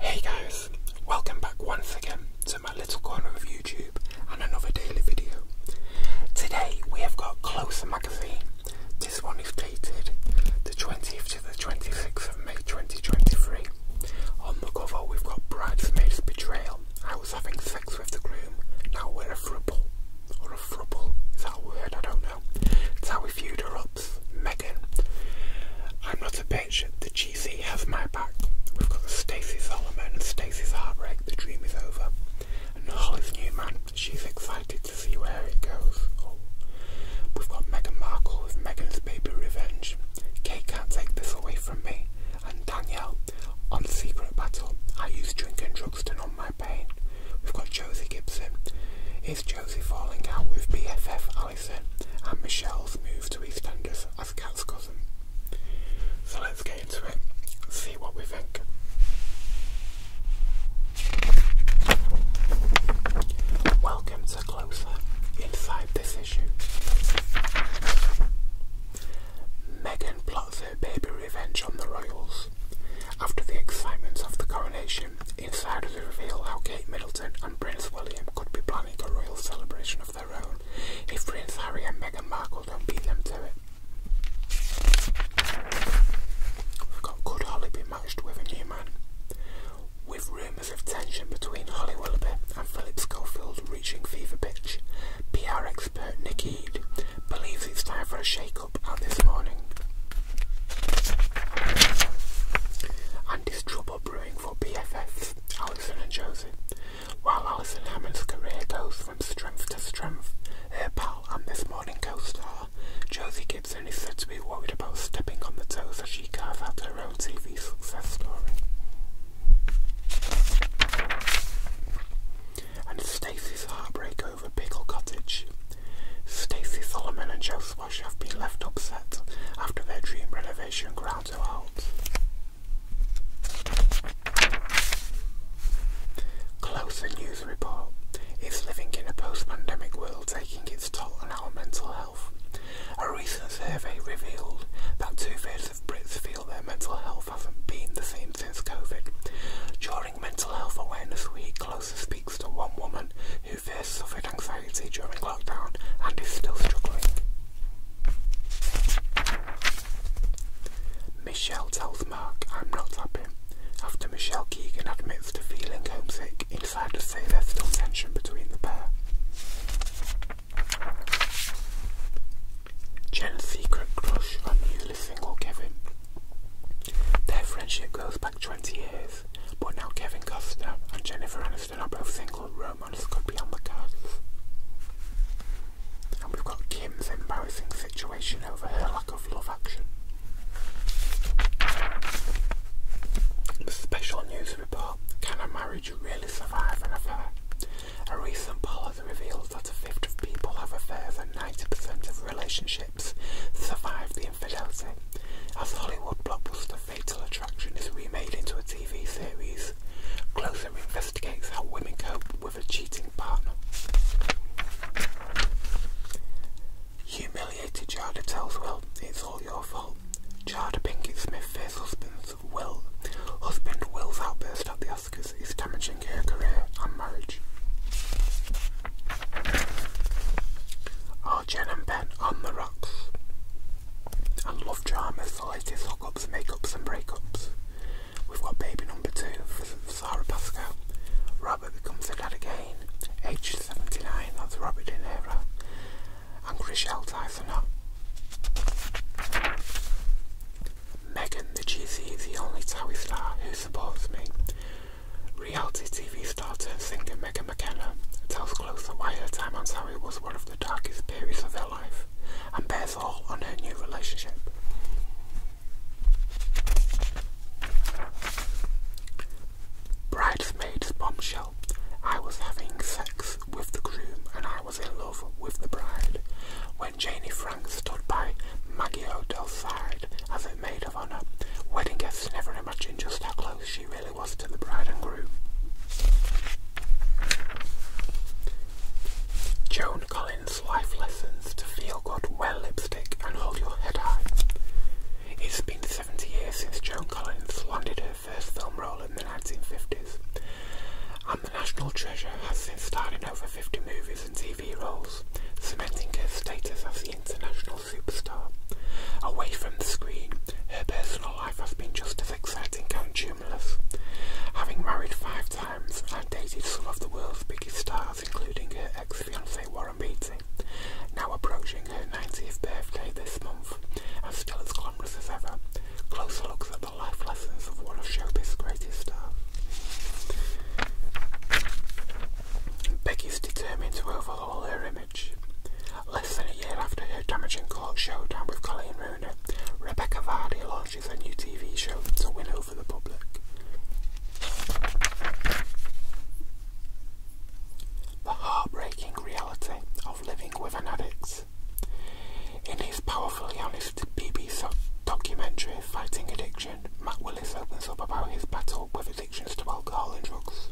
Hey guys, welcome back once again to my little corner of YouTube and another daily video. Today we have got Closer magazine. This one is dated the 20th to the 26th of May 2023. On the cover we've got Bridesmaid's Betrayal. I was having sex with the groom, now we're a throuple, or frubble, is that word? I don't know. It's how we viewed ups, Megan. I'm not a bitch, the GC has my back. We've got Stacey Solomon and Stacey's heartbreak, the dream is over. And new man. she's excited to see where it goes. Oh. We've got Meghan Markle with Meghan's baby revenge. Kate can't take this away from me. And Danielle, on Secret Battle, I used drink and drugs to numb my We've got Josie Gibson. Is Josie falling out with BFF Allison and Michelle's move to EastEnders as Cat's cousin? So let's get into it, see what we think. Welcome to Closer, inside this issue. Megan plots baby revenge on the royals. After the excitement of the coronation, insiders reveal how Kate Middleton and Prince William could be planning a royal celebration of their own if Prince Harry and Meghan Markle don't beat them to it. Could Holly be matched with a new man? With rumours of tension between Holly Willoughby and Philip Schofield reaching fever pitch, PR expert Nick Ead believes it's time for a shake up up this morning. And is trouble brewing for BFFs, Alison and Josie. While Alison Hammond's career goes from strength to strength, her pal and this morning co-star, Josie Gibson, is said to be worried about stepping on the toes as she carves out her own TV success story and Stacy's heartbreak over Pickle Cottage. Stacy Solomon and Joe Swash have been left upset after their dream renovation ground to halt. Closer News Report is living in a post-pandemic world taking its toll on our mental health. A recent survey revealed that two-thirds of Brits feel their mental health health hasn't been the same since COVID. During Mental Health Awareness Week, Closer speaks to one woman who first suffered anxiety during lockdown and is still struggling. Michelle tells Mark, I'm not happy. After Michelle Keegan admits to feeling homesick, insiders say there's still tension between the pair. Jen's secret crush on newly single Kevin. Their friendship goes back 20 years, but now Kevin Costner and Jennifer Aniston are both single, romance could be on the cards. And we've got Kim's embarrassing situation over her lack of love action. special news report, can a marriage really survive an affair? A recent poll has revealed that a fifth of people have affairs and 90% of relationships survive the infidelity. As Hollywood blockbuster Fatal Attraction is remade into a TV series, Closer investigates how women cope with a cheating partner. Humiliated Jada tells Will, it's all your fault. Jada Pinkett Smith faces husband's Will. Husband Will's outburst at the other. Because it's damaging her career and marriage. Are oh, Jen and Ben on the rocks? And love dramas, the latest hookups, makeups and breakups. We've got baby number two Sarah Pascal. Robert becomes a dad again. Age 79, that's Robert De Niro. And Chriselle Tyson up. Megan the GC is the only TOWIE star who supports me. Reality TV star and singer Megan McKenna tells Closer why her time on TOWIE was one of the darkest periods of her life and bears all on her new relationship. Bridesmaid's bombshell. I was having sex with the groom and I was in love with the bride. When when Janie Frank stood by Maggie Odell's side as her maid of honour, wedding guests never imagined just how close she really was to the bride and groom. Joan Collins' life lessons to feel good, wear lipstick and hold your head high. It's been 70 years since Joan Collins landed her first film role in the 1950s. The National Treasure has since starred in over 50 movies and TV roles, cementing her status as the international superstar. Away from the screen, her personal life has been just as exciting and tumultuous, having married five times and dated some of the world's biggest stars, including her ex fiancee Warren Beatty, now approaching her 90th birthday this month, and still as glamorous as ever. Closer looks at the life lessons of one of showbiz's greatest stars. Um, Becky's determined to overhaul her image. Less than a year after her damaging court showdown with Colleen Rooney, Rebecca Vardy launches a new TV show to win over the public. The heartbreaking reality of living with an addict. In his powerfully honest BBC documentary Fighting Addiction, Matt Willis opens up about his battle with addictions to alcohol and drugs.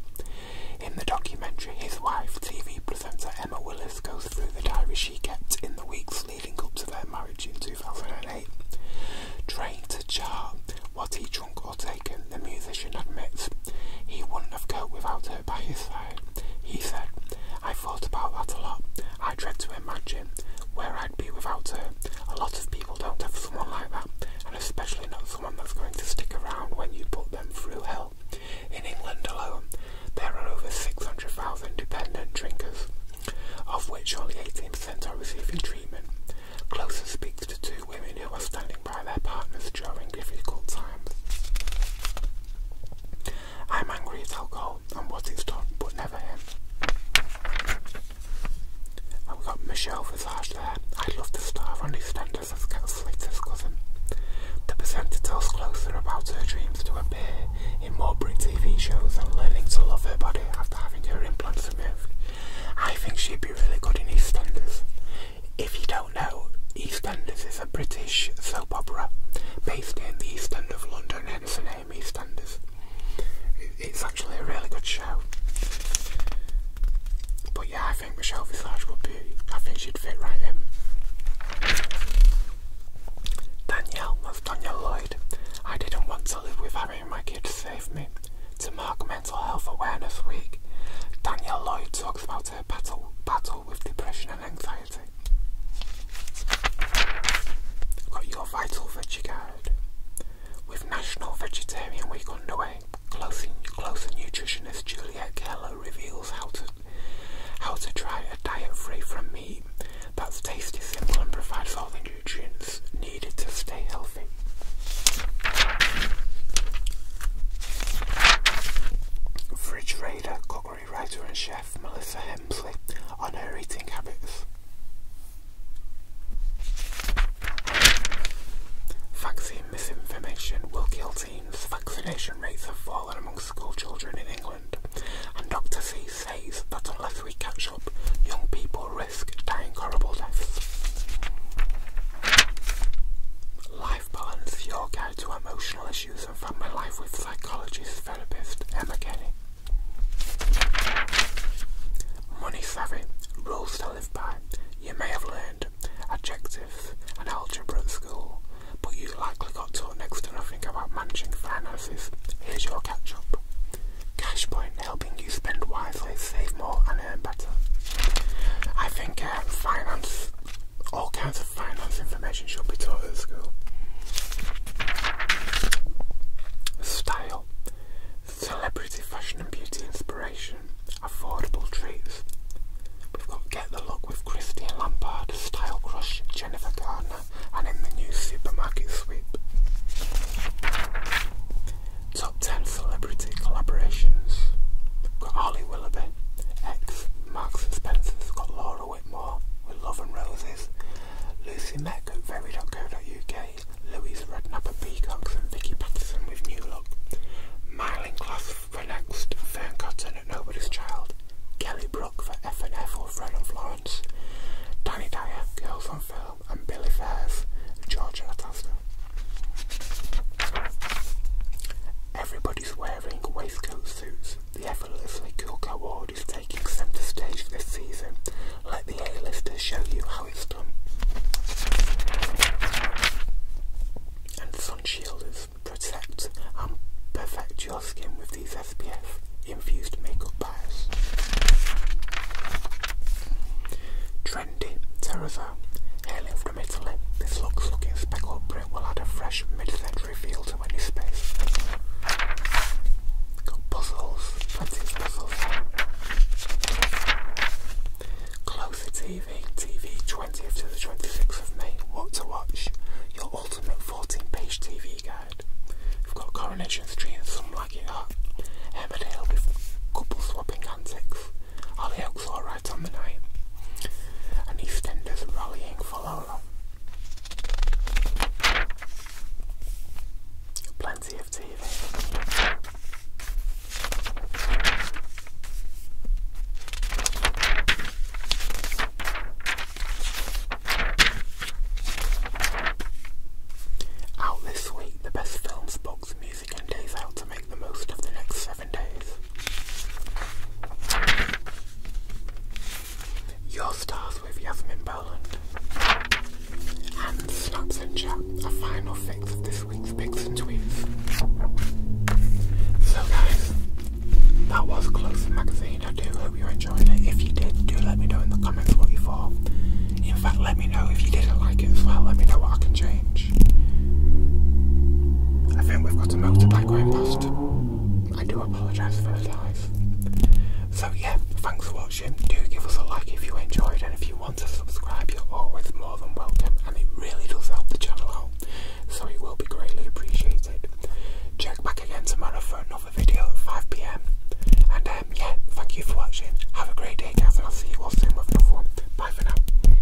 In the documentary, his wife, TV presenter Emma Willis, goes through the diary she kept in the weeks leading up to their marriage in 2008. Trying to chart what he drank or taken, the musician admits. He wouldn't have coped without her by his side. He said, I thought about that a lot. I dread to imagine where I'd be without her. A lot of people don't have someone like that, and especially not someone that's going to stick around when you put them through hell. In England alone, there are over 600,000 dependent drinkers, of which only 18% are receiving treatment. Closer speaks to two women who are standing by their partners during difficult times. I'm angry at alcohol and what it's done, but never him. And we got Michelle Visage there. I'd love to star on EastEnders as Cat's latest cousin. The presenter tells Closer about her dreams to appear in more British TV shows and learning to love her body after having her implants removed. I think she'd be really good in EastEnders. If you don't know, EastEnders is a British soap opera based in the East End of London Dennis and Amy Standers. it's actually a really good show. But yeah, I think Michelle Visage would be, I think she'd fit right in. Danielle, that's Danielle Lloyd. I didn't want to live with Harry and my kids saved me. To mark Mental Health Awareness Week, Danielle Lloyd talks about her battle with depression and anxiety. got your vital veggie guide. With National Vegetarian Week underway, Closer, nutritionist Juliet Keller reveals how to how to try a diet free from meat that's tasty, simple, and provides all the nutrients needed to stay healthy. Fridge Raider writer and chef Melissa Hemsley on her eating habits. Vaccine misinformation will kill teens. Vaccination rates have fallen among school in England, and Dr. C says that unless we catch up, young people risk dying horrible deaths. Life balance, your guide to emotional issues and family life with psychologist Money savvy, rules to live by. You may have learned adjectives and algebra at school, but you likely got taught next to nothing about managing finances. Here's your catch up. CashPoint helping you spend wisely, save more, and earn better. I think um, finance all kinds of finance information should be taught at school. Style, celebrity fashion and beauty inspiration, affordable treats. We've got Get the Look with Christian Lampard, Style Crush, Jennifer Gardner, and in the new supermarket sweep. Top 10 celebrity collaborations. Got Ollie Willoughby, X, Marks and Spencer's, got Laura Whitmore with Love and Roses, Lucy Meck at very.co.uk, Louise Rednapper, at Peacocks and Vicky Patterson with New Look, Myling Clough for Next, Fern Cotton at Nobody's Child, Kelly Brook for F&F or Fred and Florence, Danny Dyer, Girls on Film and Billy Fairs, Georgia Atasta. Everybody's wearing waistcoat suits the effortlessly Cook Award is taking centre stage this season. Let the A-lister show you how it's done. And sun shielders protect and perfect your skin with these SPF infused makeup bars. Trendy Terrazzo, hailing from Italy, this looks looking speckled it will add a fresh mid-century feel to any space. Got puzzles, plenty puzzles. Closer TV, TV 20th to the 26th of May. What to watch? Your ultimate 14-page TV guide. We've got Coronation Street Some Like It Hot. Emmerdale with couple swapping antics. Hollyoaks alright on the night. And EastEnders rallying Plenty of TV. Out this week, the best films, books, music, and days out to make the most of the next seven days. Your stars with Yasmin Boland. And snaps and chat, a final fix of this week's picks and tweets. So guys, that was Close Magazine. I do hope you enjoyed it. If you did, do let me know in the comments what you thought. In fact, let me know if you didn't like it as well. Let me know what I can change. I think we've got a motorbike going past. I do apologise for the lies. So yeah, thanks for watching. Do give us a like if you enjoyed and if you want to subscribe you're always more than welcome and it really does help the channel out. So it will be greatly appreciated. Check back again tomorrow for another video at 5pm. And um, yeah, thank you for watching. Have a great day guys and I'll see you all soon with another one. Bye for now.